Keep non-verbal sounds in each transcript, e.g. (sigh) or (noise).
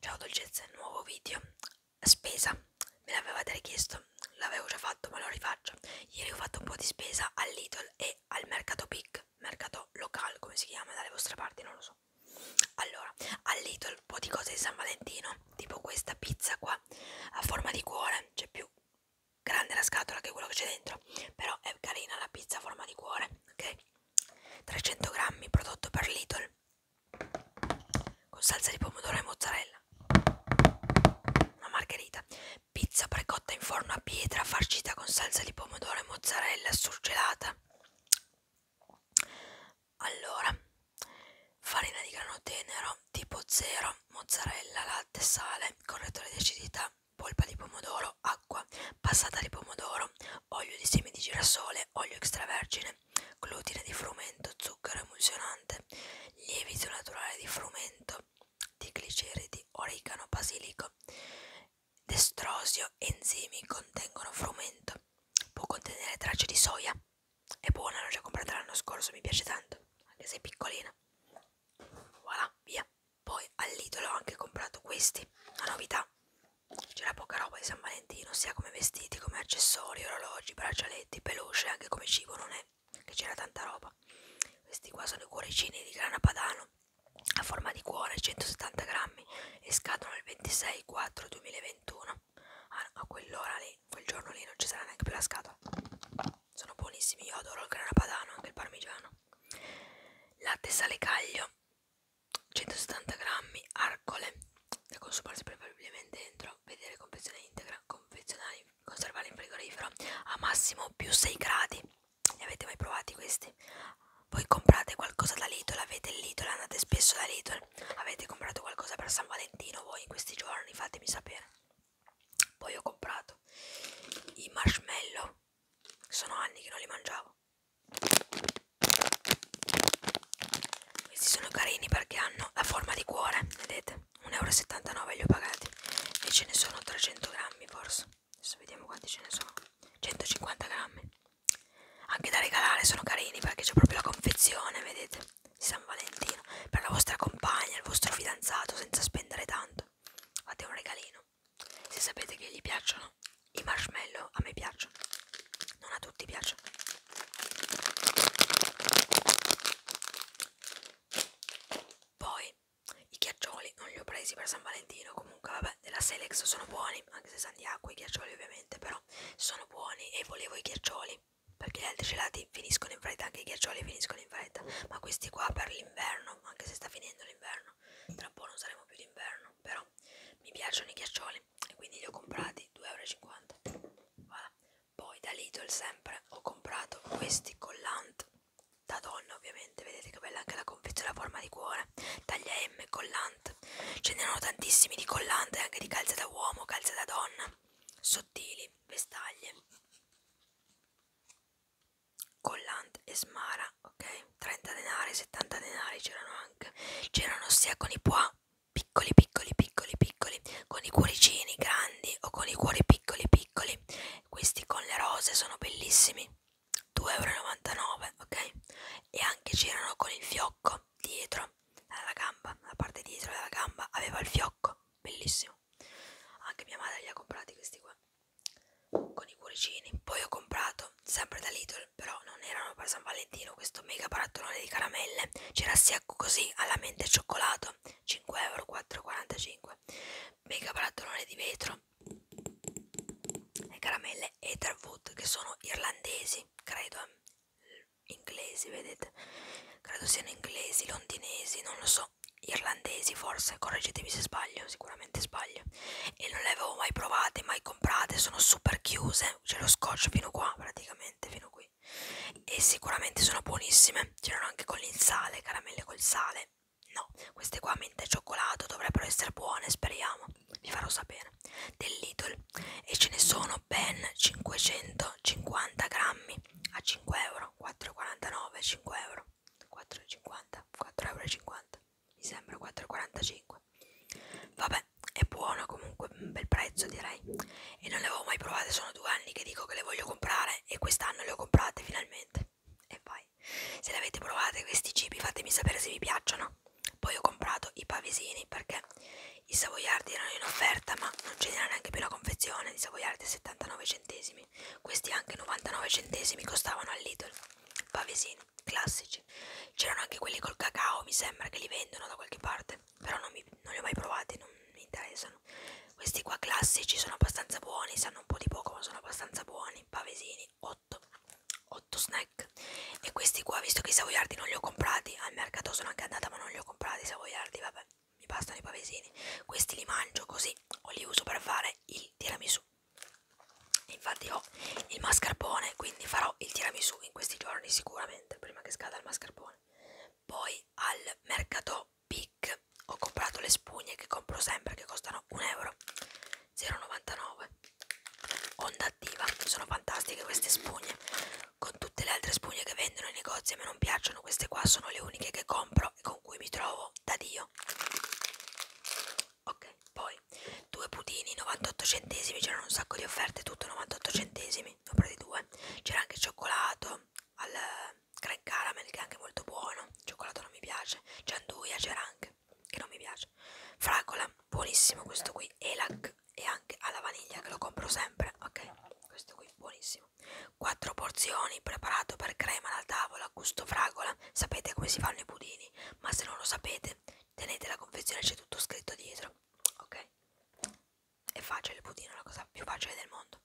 Ciao dolcezze, nuovo video Spesa, me l'avevate richiesto, l'avevo già fatto ma lo rifaccio Ieri ho fatto un po' di spesa al Lidl e al Mercato Big Mercato locale, come si chiama dalle vostre parti, non lo so Allora, al Lidl un po' di cose di San Valentino Tipo questa pizza qua, a forma di cuore C'è più grande la scatola che quello che c'è dentro Però è carina la pizza a forma di cuore, ok? 300 grammi, prodotto per Lidl con salsa di pomodoro e mozzarella una margherita pizza precotta in forno a pietra farcita con salsa di pomodoro e mozzarella surgelata allora farina di grano tenero tipo 0 mozzarella latte sale correttore di acidità polpa di pomodoro acqua passata di pomodoro olio di semi di girasole, olio extravergine, glutine di frumento, zucchero emulsionante, lievito naturale di frumento, di gliceridi, origano, basilico, destrosio, enzimi contengono frumento. Può contenere tracce di soia. È buona, l'ho già comprata l'anno scorso, mi piace tanto, anche se è piccolina. Voilà, via. Poi all'idolo ho anche comprato questi, la novità c'era poca roba di San Valentino, sia come vestiti, come accessori, orologi, braccialetti, peluche, anche come cibo non è che c'era tanta roba. Questi qua sono i cuoricini di grana padano a forma di cuore, 170 grammi e scadono il 26 4 2021. Ah, a quell'ora lì, quel giorno lì non ci sarà neanche più la scatola. Sono buonissimi, io adoro il grana padano, anche il parmigiano. Latte sale caglio 170 grammi arcole da consumarsi preferibilmente dentro vedere confezione integra confezionare conservare in frigorifero a massimo più 6 gradi li avete mai provati questi voi comprate qualcosa da Lidl avete il Lidl andate spesso da Lidl avete comprato qualcosa per San Valentino voi in questi giorni fatemi sapere poi ho comprato i marshmallow sono anni che non li mangiavo questi sono carini perché hanno la forma di cuore, vedete? 1,79 euro li ho pagati e ce ne sono 300 grammi forse. Adesso vediamo quanti ce ne sono. 150 grammi. Anche da regalare sono carini perché c'è proprio la confezione, vedete? Di San Valentino. Per la vostra compagna, il vostro fidanzato, senza spendere tanto. Fate un regalino buono. Se sapete che gli piacciono, i marshmallow a me piacciono. Non a tutti piacciono. Poi i ghiaccioli non li ho presi per San Valentino. Comunque, vabbè, della Selex sono buoni, anche se sanno di acqua i ghiaccioli ovviamente, però sono buoni e volevo i ghiaccioli. Perché gli altri gelati finiscono in fretta, anche i ghiaccioli finiscono in fretta. Ma questi qua per l'inverno, anche se sta finendo l'inverno, d'inverno (laughs) tra un po' non saremo più d'inverno però mi piacciono i ghiaccioli e quindi li ho comprati 2,50 euro voilà. poi da Lidl sempre ho comprato questi collant da donna ovviamente vedete che bella anche la confezione a forma di cuore taglia M collant ce n'erano tantissimi di collant e anche di calze da uomo calze da donna sottili vestaglie Collant e Smara, ok? 30 denari, 70 denari c'erano anche. C'erano sia con i pois piccoli, piccoli, piccoli, piccoli, con i cuoricini grandi o con i cuori piccoli, piccoli. Questi con le rose sono bellissimi, 2,99 euro, ok? E anche c'erano con il fiocco dietro alla gamba, la parte dietro della gamba aveva il fiocco, bellissimo. Anche mia madre li ha comprati questi qua con i cuoricini poi ho comprato sempre da Lidl però non erano per San Valentino questo mega barattolone di caramelle c'era sia così alla mente cioccolato 5 euro 4,45 mega barattolone di vetro e caramelle Etherwood che sono irlandesi credo eh, inglesi vedete credo siano inglesi londinesi non lo so so, irlandesi forse, correggetemi se sbaglio, sicuramente sbaglio. E non le avevo mai provate, mai comprate, sono super chiuse, c'è lo scotch fino qua praticamente, fino qui. E sicuramente sono buonissime, c'erano anche con il sale, caramelle col sale. No, queste qua mente e cioccolato dovrebbero essere buone, speriamo. Vi farò sapere. Del Lidl e ce ne sono ben 550 grammi a 5 euro, 4,49, 5 euro. 4,50 4,50 mi sembra 4,45 vabbè è buono comunque un bel prezzo direi e non le avevo mai provate sono due anni che dico che le voglio comprare e quest'anno le ho comprate finalmente e poi se le avete provate questi cibi fatemi sapere se vi piacciono poi ho comprato i pavesini perché i savoiardi erano in offerta ma non ce n'era neanche più la confezione i savoiardi a 79 centesimi buonissimi questi anche 99 centesimi costavano al Lidl pavesini classici c'erano anche quelli col cacao mi sembra che li vendono da qualche parte però non, mi, non li ho mai provati non mi interessano questi qua classici sono abbastanza buoni sanno un po' di poco ma sono abbastanza buoni pavesini 8 8 snack e questi qua visto che i savoiardi non li ho comprati al mercato sono anche andata ma non li ho comprati i savoiardi vabbè mi bastano i pavesini questi li mangio così o li uso per fare il tiramisù infatti ho il mascarpone quindi farò il tiramisù in questi giorni sicuramente prima che scada il mascarpone poi al mercato Pic ho comprato le spugne che compro sempre che costano 1 euro 0,99 onda attiva sono fantastiche queste spugne con tutte le altre spugne che vendono nei negozi a me non piacciono queste qua sono le uniche che compro e con cui mi trovo da Dio. Ok, poi due pudini 98 centesimi, c'erano un sacco di offerte, tutto 98 centesimi, ne ho presi due. C'era anche il cioccolato al eh, gran caramel che è anche molto buono, il cioccolato non mi piace, gianduia c'era anche, che non mi piace. Fragola, buonissimo questo qui, Elac e anche alla vaniglia che lo compro sempre, ok? Questo qui buonissimo buonissimo. Quattro porzioni, preparato per crema alla tavola, gusto fragola. Sapete come si fanno i budini, ma se non lo sapete, tenete la confezione, c'è tutto scritto dietro. Ok? È facile il budino, è la cosa più facile del mondo.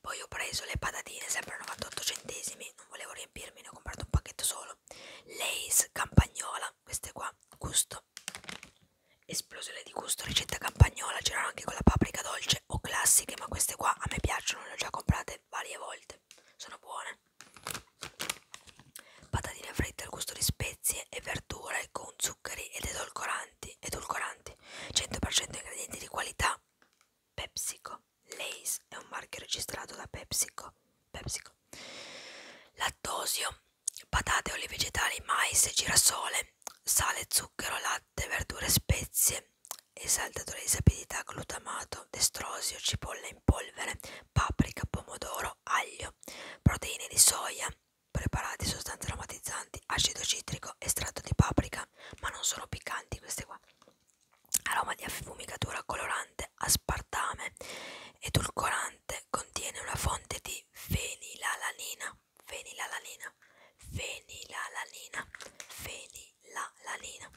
Poi ho preso le patatine, sempre a 98 centesimi, non volevo riempirmi, ne ho comprato un pacchetto solo. Lace campagnola, queste qua, gusto. Esplosione di gusto, ricetta campagnola, c'erano anche con la paprika dolce dolce cioè, o classiche, ma queste qua a me piacciono, le ho già comprate varie volte, sono buone. Patatine fritte al gusto di spezie e verdure con zuccheri ed edulcoranti, edulcoranti 100% ingredienti di qualità. PepsiCo, Lays è un marchio registrato da PepsiCo, PepsiCo. Lattosio, patate, oli vegetali, mais, girasole, sale, zucchero zucchero, latte, verdure, spezie, esaltatore di sapidità, glutamato, destrosio, cipolla in polvere, paprika, pomodoro, aglio, proteine di soia, preparati, sostanze aromatizzanti, acido citrico, estratto di paprika, ma non sono piccanti queste qua. Aroma di affumicatura colorante, aspartame, edulcorante, contiene una fonte di fenilalanina fenilalanina, fenilalanina, fenilalanina.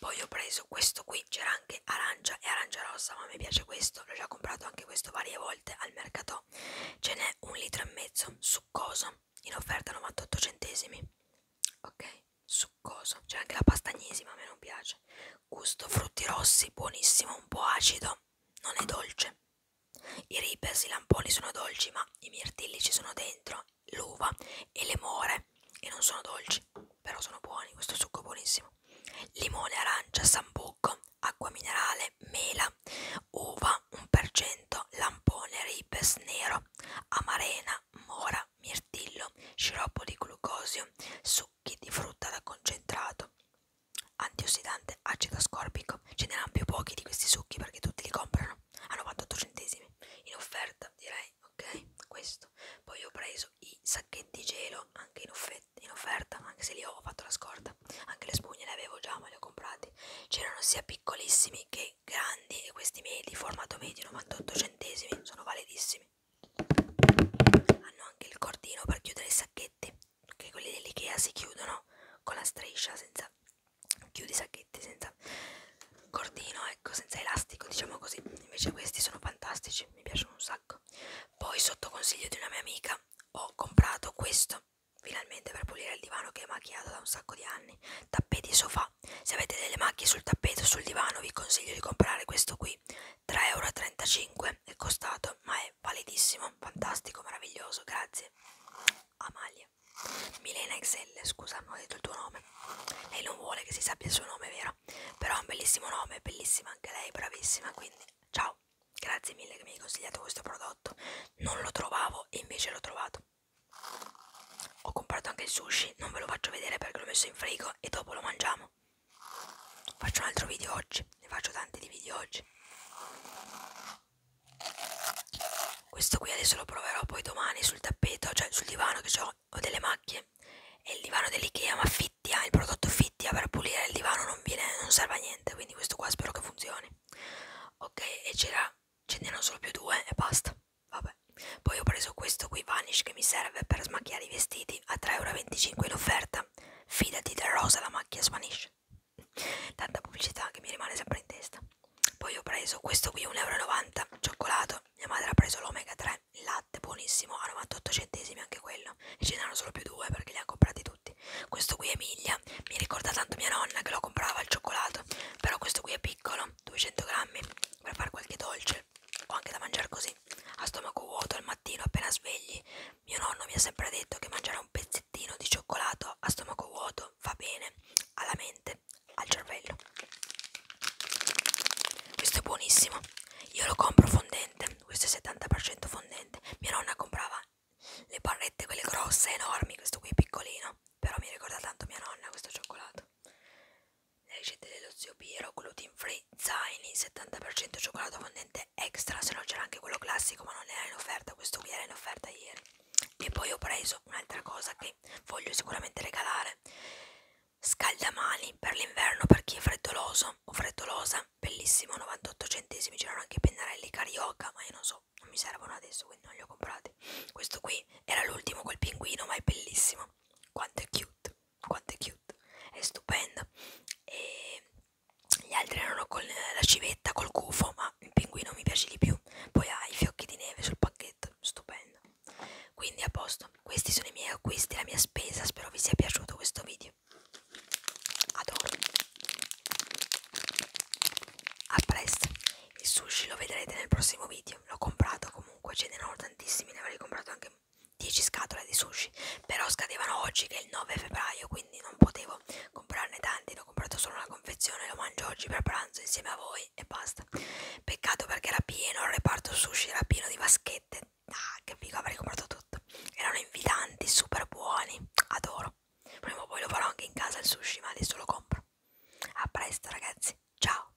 Poi ho preso questo qui, c'era anche arancia e arancia rossa, ma mi piace questo, l'ho già comprato anche questo varie volte al mercato. Ce n'è un litro e mezzo, succoso, in offerta 98 centesimi. Ok, succoso. C'è anche la pastagnesi, ma a me non piace. Gusto frutti rossi, buonissimo, un po' acido, non è dolce. I ripes, i lamponi sono dolci, ma i mirtilli ci sono dentro, l'uva e le more e non sono dolci, però sono buoni, questo succo è buonissimo. Limone, arancia, sambucco, acqua minerale, mela, uva 1%, lampone, ripes nero, amarena, mora, mirtillo, sciroppo di glucosio, succhi di frutta da concentrato antiossidante, acido ascorbico. Ce ne hanno più pochi di questi succhi perché tutti li comprano a 98 centesimi in offerta, direi. Ok, questo. Poi ho preso i sacchetti gelo anche in, in offerta, anche se li ho fatto la scorta. Anche le spugne le avevo già, ma le ho comprate. C'erano sia piccolissimi che grandi e questi medi, formato medio 98 centesimi, sono validissimi. Hanno anche il cordino per chiudere i sacchetti che quelli dell'IKEA si chiudono con la striscia senza chiudi i sacchetti senza cordino ecco senza elastico diciamo così invece questi sono fantastici mi piacciono un sacco poi sotto consiglio di una mia amica ho comprato questo finalmente per pulire il divano che è macchiato da un sacco di anni tappeti sofà se avete delle macchie sul tappeto sul divano vi consiglio di comprare questo qui 3,35 euro è costato ma è validissimo fantastico meraviglioso grazie Amalia Milena Excel scusa non ho detto il tuo nome lei non vuole che si sappia il suo nome vero però è un bellissimo nome bellissima anche lei bravissima quindi ciao grazie mille che mi hai consigliato questo prodotto non lo trovavo e invece l'ho trovato ho comprato anche il sushi non ve lo faccio vedere perché l'ho messo in frigo e dopo lo mangiamo faccio un altro video oggi ne faccio tanti di video oggi questo qui adesso lo proverò poi domani sul tappeto cioè sul divano che ho, ho delle macchie è il divano dell'Ikea ma fittia il prodotto fittia per pulire il divano non, viene, non serve a niente quindi questo qua spero che funzioni ok e c'era ce n'erano solo più due e basta vabbè poi ho preso questo qui vanish che mi serve per smacchiare i vestiti a 3,25€ in offerta macchina, fidati da rosa la macchina svanisce. Tanta pubblicità che mi rimane sempre in testa. Poi ho preso questo qui, 1,90 euro, cioccolato. Mia madre ha preso l'omega 3, il latte, buonissimo, a 98 centesimi anche quello. E ce n'erano solo più due perché li ha comprati tutti. Questo qui Emilia, mi ricorda tanto mia nonna che lo comprava al cioccolato. Però questo qui è piccolo, 200 grammi, per fare qualche dolce o anche da mangiare così così, a stomaco vuoto al mattino appena svegli. Mio nonno mi ha sempre detto che mangiare un pezzettino di cioccolato a stomaco vuoto fa bene alla mente, al cervello. Questo è buonissimo. Io lo compro fondente, questo è 70% fondente. Mia nonna comprava le barrette quelle grosse, enormi, questo qui è piccolino, però mi ricorda tanto mia nonna questo cioccolato. Leggete dello zio Piero, gluten free, zaini, 70% cioccolato fondente extra, se no c'era anche quello classico ma non era in offerta, questo qui era in offerta ieri. E poi ho preso un'altra cosa che voglio sicuramente regalare, scaldamani per l'inverno per chi è freddoloso o freddolosa, bellissimo, 98 centesimi, c'erano anche i pennarelli carioca, ma io non so, non mi servono adesso quindi non li ho comprati. Questo qui era l'ultimo col pinguino ma è bellissimo, quanto è cute quanto è cute, è stupenda. E gli altri erano con la civetta, col gufo, ma il pinguino mi piace di più. Poi ha i fiocchi di neve sul pacchetto, stupendo. Quindi a posto, questi sono i miei acquisti, la mia spesa, spero vi sia piaciuto questo video. Adoro. A presto. Il sushi lo vedrete nel prossimo video, l'ho comprato comunque, ce ne erano tantissimi, ne avrei comprato anche 10 scatole di sushi però scadevano oggi che è il 9 febbraio quindi non potevo comprarne tanti ne ho comprato solo una confezione lo mangio oggi per pranzo insieme a voi e basta peccato perché era pieno il reparto sushi era pieno di vaschette ah che figo avrei comprato tutto erano invitanti super buoni adoro prima o poi lo farò anche in casa il sushi ma adesso lo compro a presto ragazzi ciao